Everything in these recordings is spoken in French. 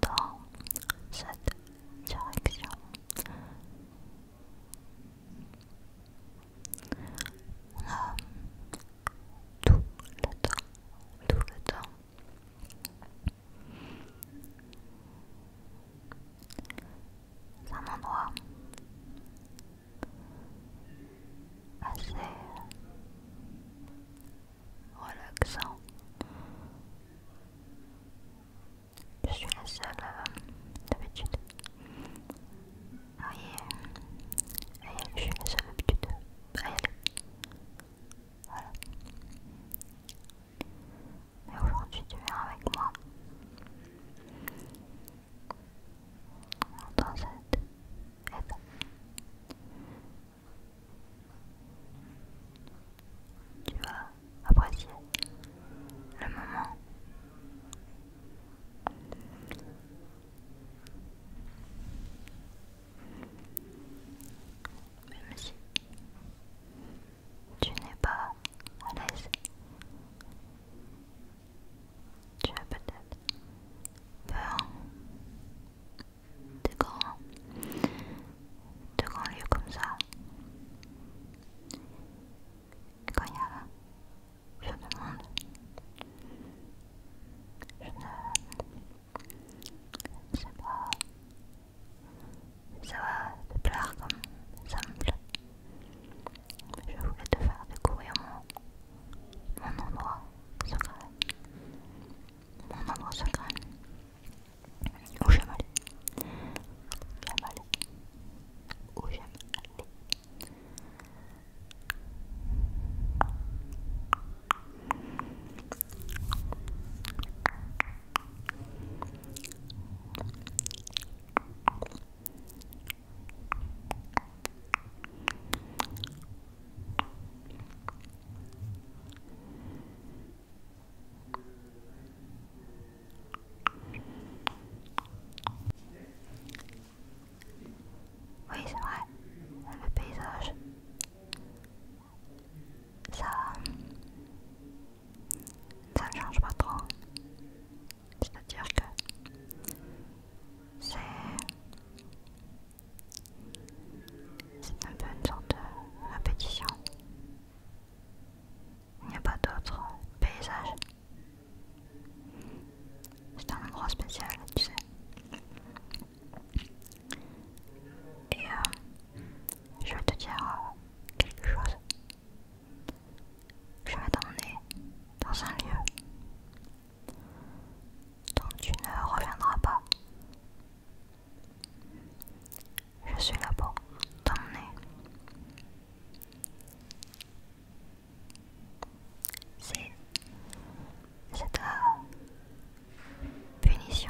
dans cette direction on tout le temps tout le temps endroit assez relaxant. Je suis la seule euh, d'habitude. Oui, je suis la seule d'habitude à Mais aujourd'hui, tu viens avec moi. Tu vas apprécier le moment. Même si tu n'es pas à l'aise, tu as peut-être peur de grands, de lieux comme ça. quand il y a là, je demande, je ne sais pas, ça va te plaire comme ça me plaît. Je voulais te faire découvrir mon, mon endroit secret. Mon endroit secret. Où j'aime Où j'aime oui, c'est vrai, le paysage, ça, ça ne change pas trop. C'est-à-dire que c'est un peu une sorte de répétition. Il n'y a pas d'autre paysage. C'est un endroit spécial, tu sais. Et euh, je vais te dire euh, quelque chose. Je vais t'emmener dans un lieu dont tu ne reviendras pas. Je suis là pour t'emmener. C'est ta punition.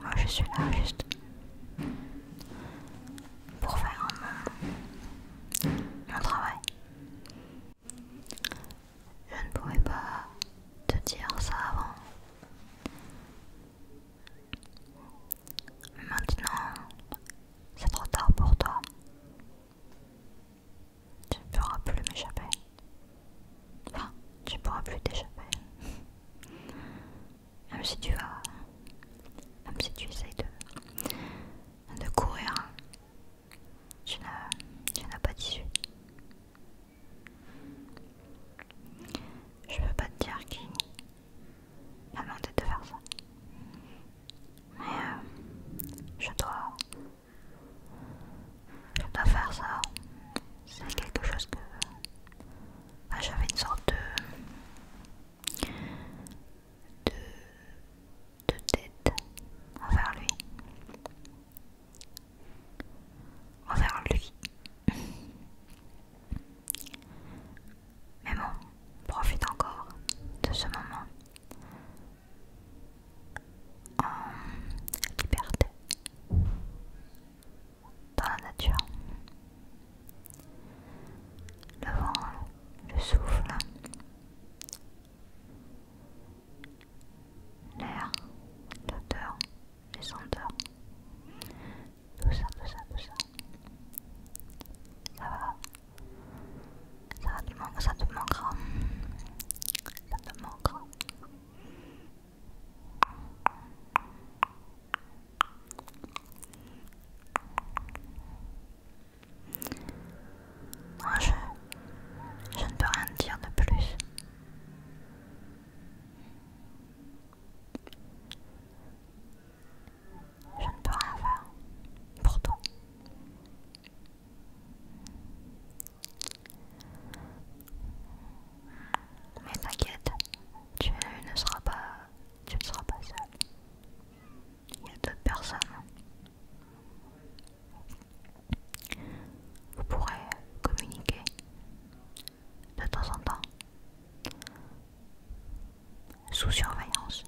Moi je suis là juste pour faire mon, euh, travail. Je ne pouvais pas te dire ça avant. Maintenant, c'est trop tard pour toi. Tu ne pourras plus m'échapper. Enfin, tu ne pourras plus t'échapper. Même si tu vas même si tu essayes de, de courir, tu n'as pas d'issue. Je veux pas te dire qui m'a demandé de faire ça. Mais euh, je dois... Je dois faire ça. C'est quelque chose que... J'avais une sorte de de, de envers lui. Envers lui. Mais bon, profite encore de ce moment en liberté, dans la nature. Le vent, le souffle, l'air, l'odeur, les senteurs, tout ça, tout ça, tout ça. Ça va, ça va, te ça te manquera, ça te manquera je, ne peux rien dire de plus. Je ne peux rien faire. pour toi, Mais t'inquiète, tu ne seras pas, tu ne seras pas seul il y a d'autres personnes. Hein. Vous pourrez communiquer de temps en temps sous surveillance.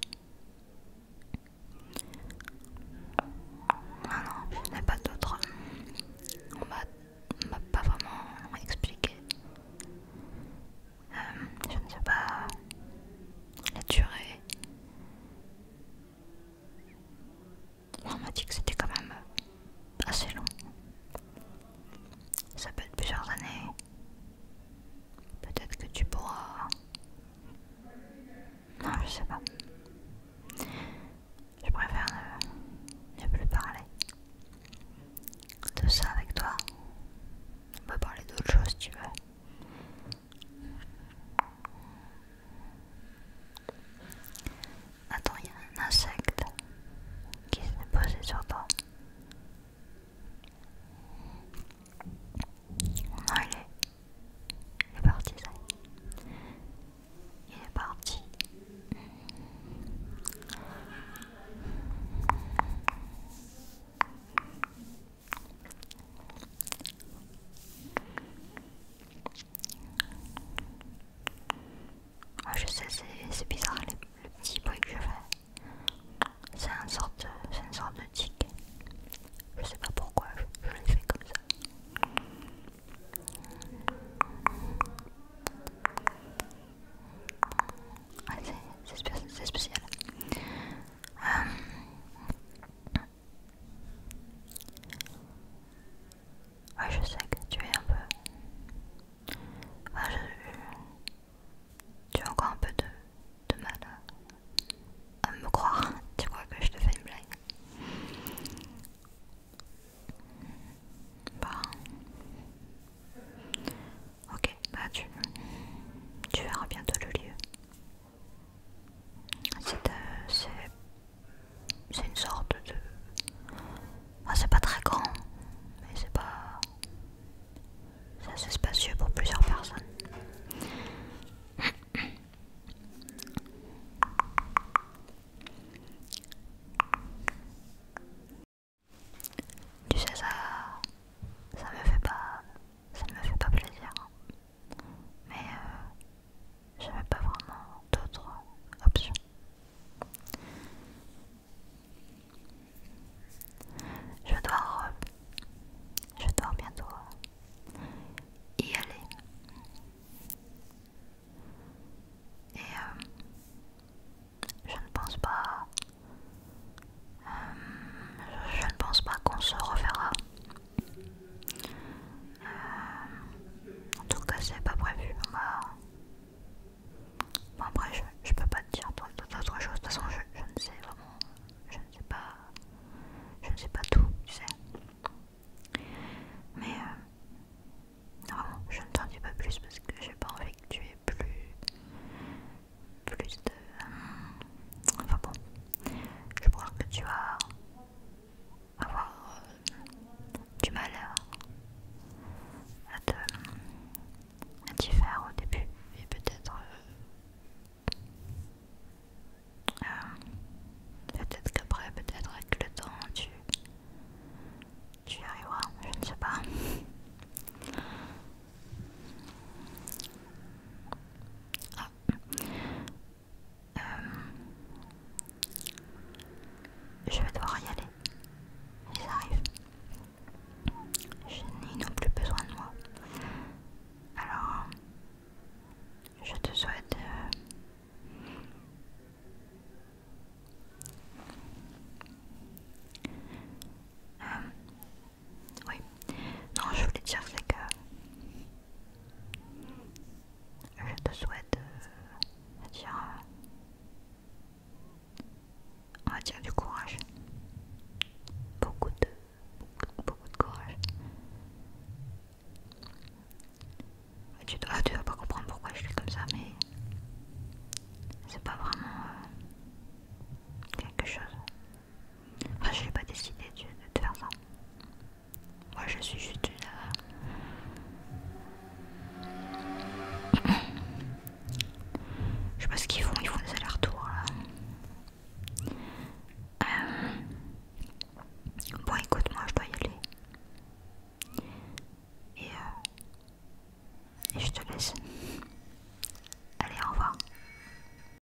Non, non, a pas d'autres On m'a pas vraiment expliqué euh, je ne sais pas la durée. On m'a dit que c'était quand même assez long. Ça peut être plusieurs années. Peut-être que tu pourras... Non, je sais pas. Je préfère ne, ne plus parler de ça avec toi. On peut parler d'autre chose si tu veux. Attends, il y a un insecte qui s'est posé sur toi. Non, il est, parti, Il est parti. Ah, je sais, c'est bizarre le petit bruit que je fais. C'est une sorte, sorte de tic. Je sais pas pourquoi je, je fais comme ça. c'est spécial je sais que tu es un peu. Tu as encore un peu de, mal à... me croire. Tu crois que je te fais une blague? Bon. Bah. Ok, bah tu verras bientôt le lieu. Euh, c'est une sorte de... c'est pas très grand, mais c'est pas... C'est assez spacieux pour plusieurs personnes. Tu sais, ça... Ça me fait pas ça ne me fait pas plaisir. Hein. Mais je euh, j'avais pas vraiment d'autres options. Je dois, je dois bientôt y aller. Et euh, je ne pense pas euh, je ne pense pas qu'on se reverra. Euh, en tout cas, c'est pas prévu. après, je, ne peux pas te dire d'autres choses. De toute façon, je, ne sais vraiment. Je ne sais pas. Je ne sais pas tout, tu sais. Mais euh, je ne t'en dis pas plus parce que j'ai pas envie que tu aies plus plus de... Euh, enfin bon, je crois que tu vas avoir euh, du mal euh, à, te... à t'y faire au début et peut-être... peut-être qu'après, peut-être avec le temps, tu... Tu y arriveras, je ne sais pas. Euh, je vais devoir y aller. Ils arrivent. Ils n'ont plus besoin de moi. Alors, je te souhaite... Euh, euh, oui. Non, je voulais dire, c'est que je te souhaite, euh, dire, euh, on va dire du courage. Beaucoup de, beaucoup, de courage. Tu, vas pas comprendre pourquoi je suis comme ça, mais c'est pas vraiment euh, quelque chose ah, je n'ai pas décidé de, te faire ça. Moi, je suis juste une. Euh, je sais pas ce qu'ils font, ils font des allers-retours là. Euh, bon, écoute, moi, je dois y aller. Et euh, je te laisse. Allez, au revoir.